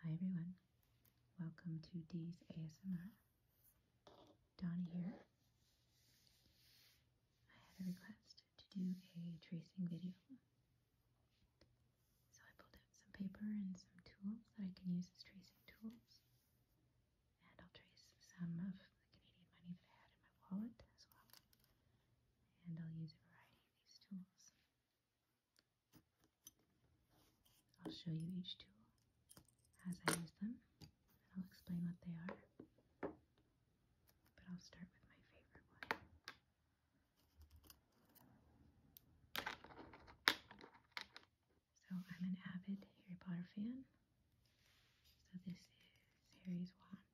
Hi everyone, welcome to Dee's ASMR. Donnie here. I had a request to do a tracing video. So I pulled out some paper and some tools that I can use as tracing tools. And I'll trace some of the Canadian money that I had in my wallet as well. And I'll use a variety of these tools. I'll show you each tool as I use them, and I'll explain what they are. But I'll start with my favorite one. So, I'm an avid Harry Potter fan. So, this is Harry's wand.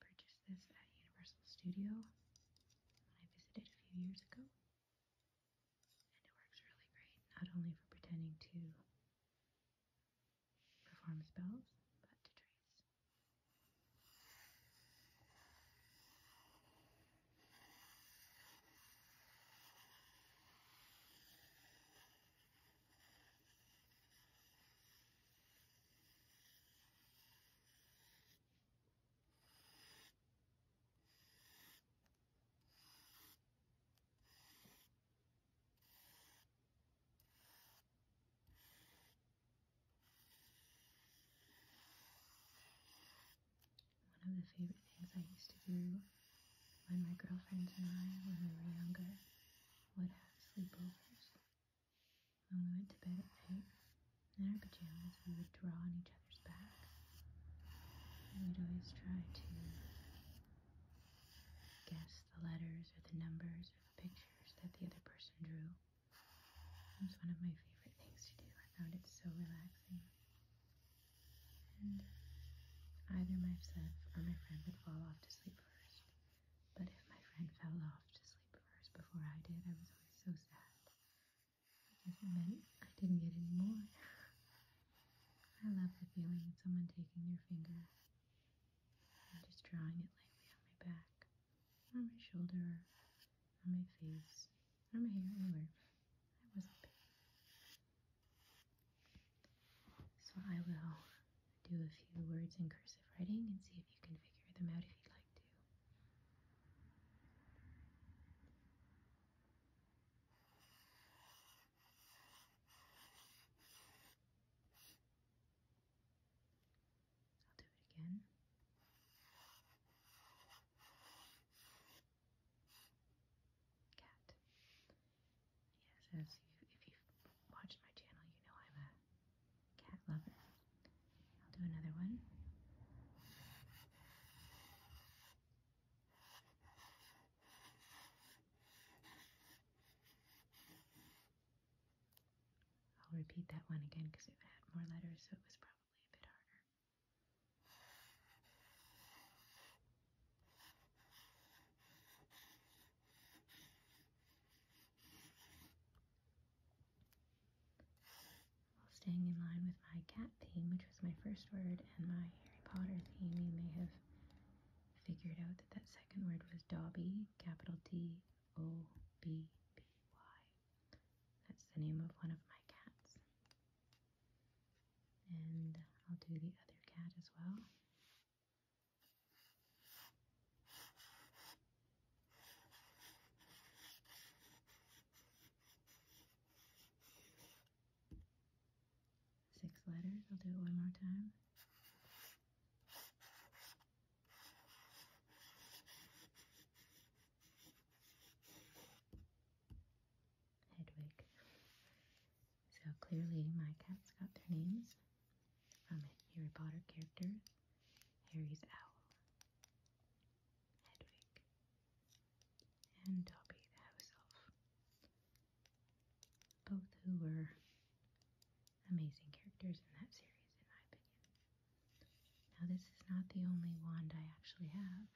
Purchased this at Universal Studio when I visited a few years ago. And it works really great, not only for pretending to perform spells, but to trace. One of the favorite things I used to do when my girlfriends and I, when we were younger, would have sleepovers. When we went to bed at night, in our pajamas, we would draw on each other's back. And we'd always try to guess the letters or the numbers or the pictures that the other person drew. It was one of my favorite things to do. I found it so relaxing. And either myself or my friend would fall off to sleep first. But if my friend fell off to sleep, first before I did. I was always so sad because it meant I didn't get any more. I love the feeling of someone taking your finger and just drawing it lightly on my back, or my shoulder, on my face, or my hair, anywhere. I wasn't So I will do a few words in cursive writing and see if you can figure them out if you would like like to. I'll do it again. Cat. Yes, as you, if you've watched my channel, you know I'm a cat lover. I'll do another one. I'll repeat that one again because it had more letters, so it was probably a bit harder. While staying in line with my cat theme, which was my first word, and my Harry Potter theme, you may have figured out that that second word was Dobby, capital D O B B Y. That's the name of one of my cats. And I'll do the other cat as well. Six letters. I'll do it one more time. Hedwig. So clearly, my cats got their names from Harry Potter characters. Harry's owl, Hedwig, and Dobby the house elf. Both who were amazing characters in that series, in my opinion. Now, this is not the only wand I actually have.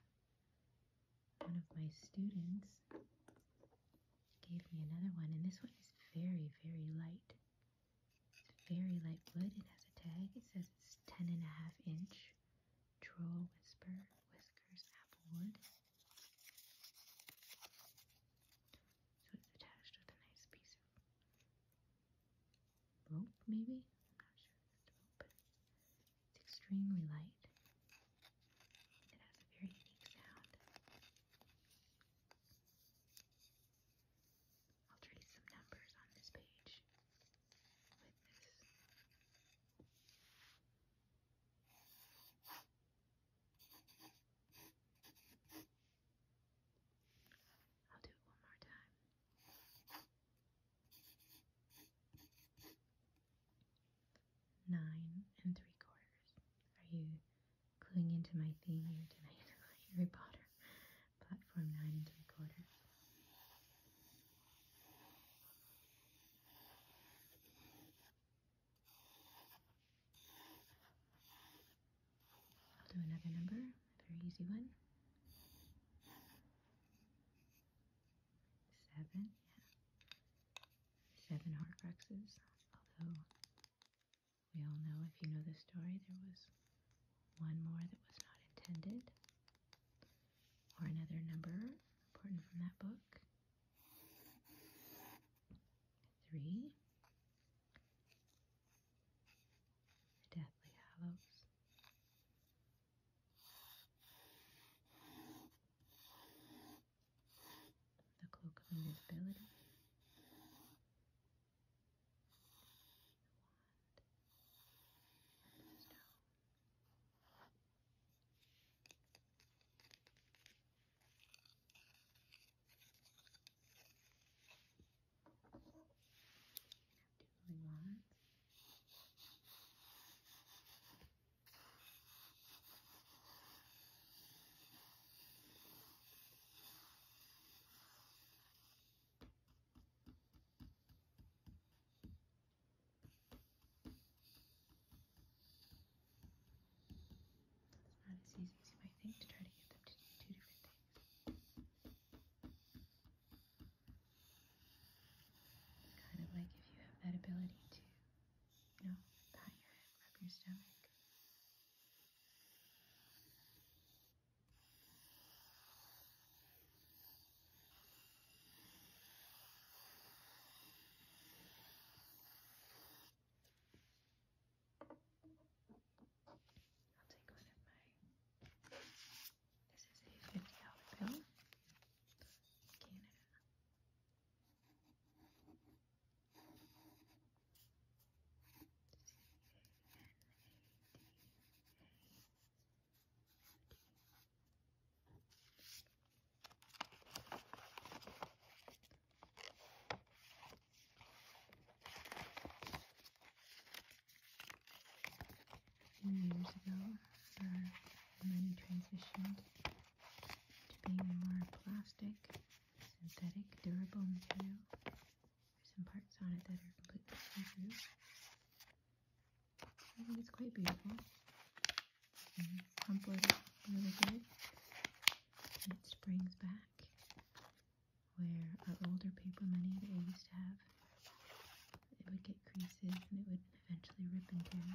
One of my students gave me another one, and this one is very, very light. Very light wood. It has a tag. It says it's 10 and a half inch. Troll Whisper Whiskers Applewood. So it's attached with a nice piece of rope, maybe? not sure if it's rope, it's extremely light. It has a very unique sound. I'll trace some numbers on this page with this. I'll do it one more time. Nine and three quarters. Are you cluing into my theme here tonight, Harry Potter, platform nine and three quarters. I'll do another number, a very easy one. Seven, yeah. Seven Horcruxes, although we all know if you know the story, there was one more that was not intended, or another number important from that book. Three. The Deathly Hallows the cloak of invisibility, the wand, and the stone. Two wands. It's not as easy as you might think to try to get them to do two different things. Kind of like if you have that ability to, you know, pat your head, rub your stomach, Wat ik was met mij. This is a $50 bill. Canada. few years ago for many transitioned to being more plastic synthetic durable material. There's some parts on it that are completely see-through. I think it's quite beautiful. And it's comforted really And it springs back where our older paper money that we used to have, it would get creases and it would eventually rip and tear.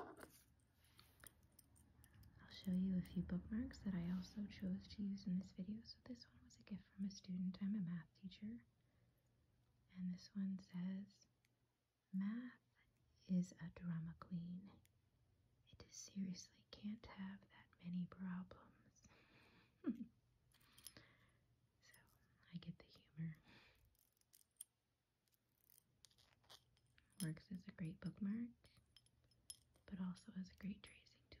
I'll show you a few bookmarks that I also chose to use in this video. So this one was a gift from a student. I'm a math teacher. And this one says, Math is a drama queen. It seriously can't have that many problems. so I get the humor. Works as a great bookmark, but also as a great tracing tool.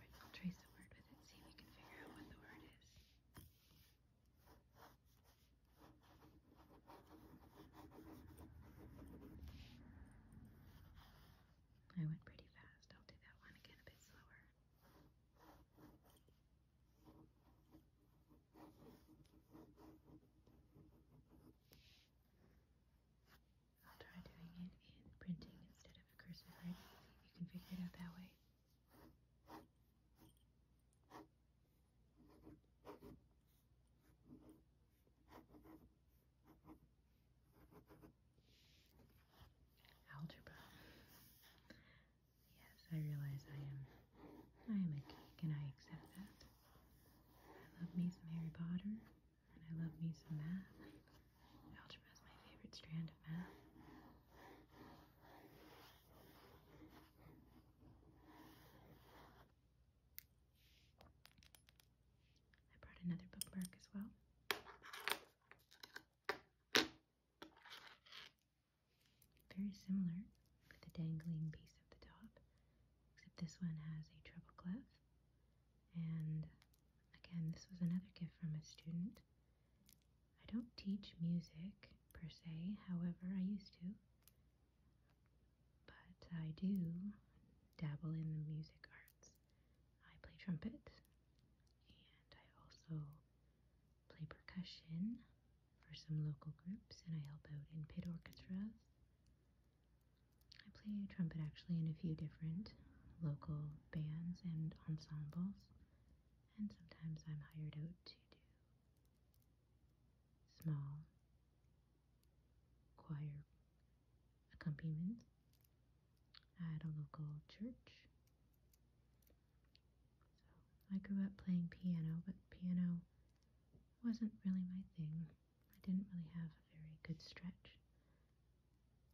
Alright, I'll trace the word with it, see if we can figure out what the word is. I went pretty fast. I'll do that one again a bit slower. Try doing it in printing instead of cursive You can figure it out that way. Algebra. Yes, I realize I am. I am a geek, and I accept that. I love me some Harry Potter, and I love me some math. Algebra is my favorite strand of math. I brought another bookmark as well. Very similar with the dangling piece at the top, except this one has a treble clef. And again, this was another gift from a student. I don't teach music per se, however, I used to. But I do dabble in the music arts. I play trumpet and I also play percussion for some local groups, and I help out in pit orchestras. I play trumpet actually in a few different local bands and ensembles, and sometimes I'm hired out to do small choir accompaniments at a local church. I grew up playing piano, but piano wasn't really my thing. I didn't really have a very good stretch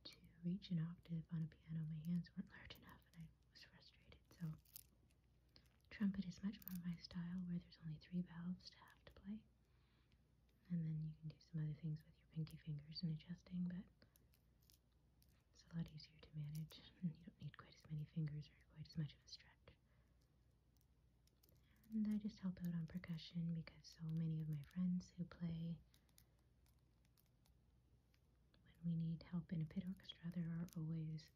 to reach an octave on a piano. My hands weren't large enough and I was frustrated. So trumpet is much more my style where there's only three valves to have to play. And then you can do some other things with your pinky fingers and adjusting, but it's a lot easier to manage, and you don't need quite as many fingers or quite as much of a stretch. And I just help out on percussion because so many of my friends who play when we need help in a pit orchestra, there are always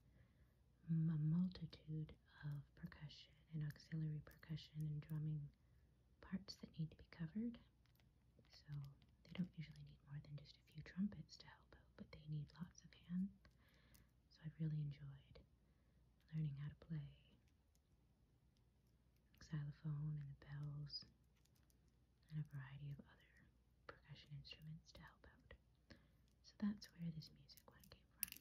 a multitude of percussion and auxiliary percussion and drumming parts that need to be covered. So they don't usually need more than just a few trumpets to help out, but they need lots of hands. So I've really enjoyed learning how to play xylophone and the bells and a variety of other percussion instruments to help out. So that's where this music one came from.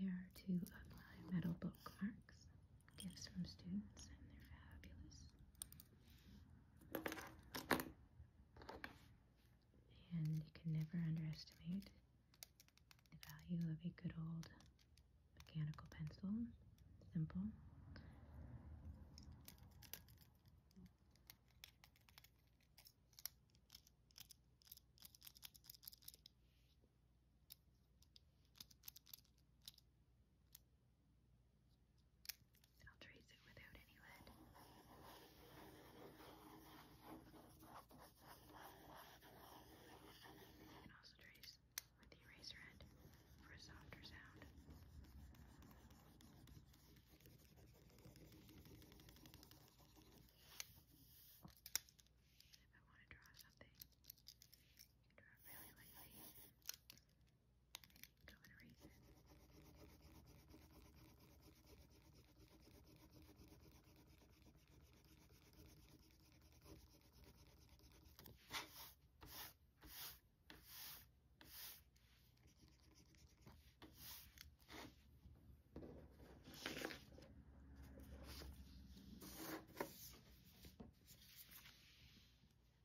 So there are two of my metal bookmarks gifts from students, and they're fabulous. And you can never underestimate the value of a good old mechanical pencil. Simple. I'll trace it without any lead. You can also trace with the eraser end for a softer sound. If I want to draw something you know, really lately. I think go and reason. I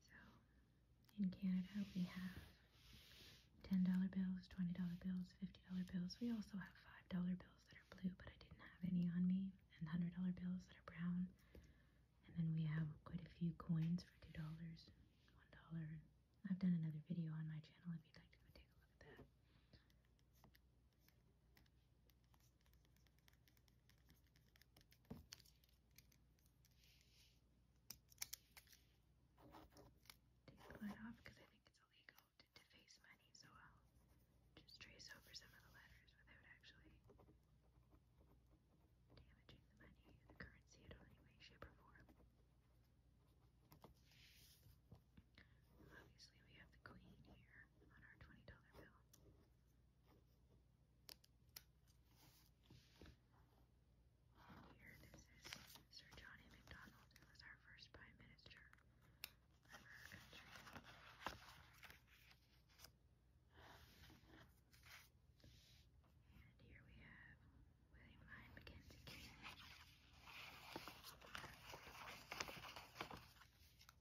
so in Canada we have $10 bills, $20 bills, $50 bills. We also have $5 bills that are blue, but I didn't have any on me, and $100 bills that are brown. And then we have quite a few coins for $2, $1. I've done another video on my channel if you'd like to go take a look at that. Take the lid off because I think it's illegal to deface money, so I'll just trace over some of the letters without actually damaging the money, the currency in any way, shape, or form. Obviously, we have the queen here on our $20 bill. Here, this is Sir Johnny MacDonald, who was our first Prime Minister of our country. And here we have William Lyon Mackenzie King.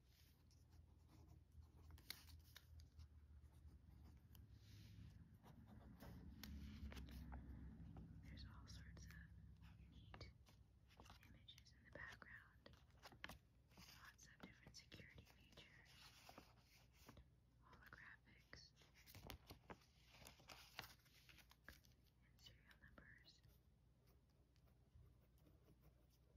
There's all sorts of neat images in the background, lots of different security features, holographics, and serial numbers.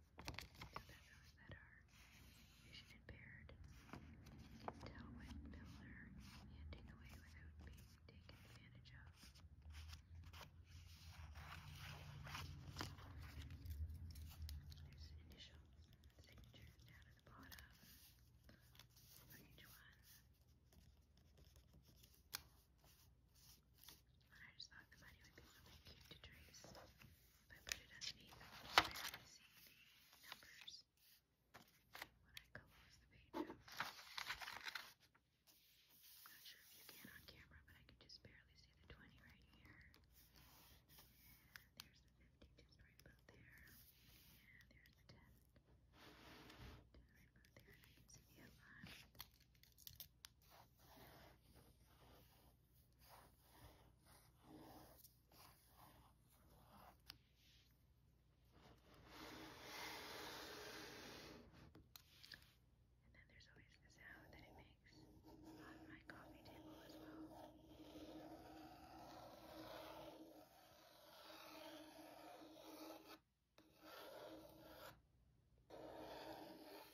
bedrooms that are vision impaired can tell when people are handing away without being taken advantage of. There's an initial signature down at the bottom for each one. And I just thought the money would be something cute to trace but it doesn't even barely see the numbers when I close the page out. I'm not sure if you can on camera, but I can just barely see the 20 right here. And there's the 50 just right about there. And there's the 10. 10 right about there. And I can see the outline. And then there's always the sound that it makes on my coffee table as well.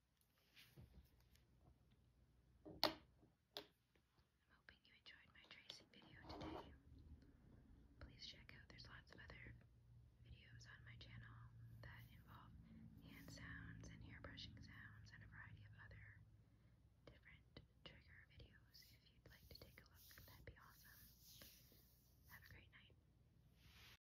I'm hoping you enjoyed my tracing video today. Please check out, there's lots of other videos on my channel that involve hand sounds and hair brushing sounds and a variety of other different trigger videos. If you'd like to take a look, that'd be awesome. Have a great night.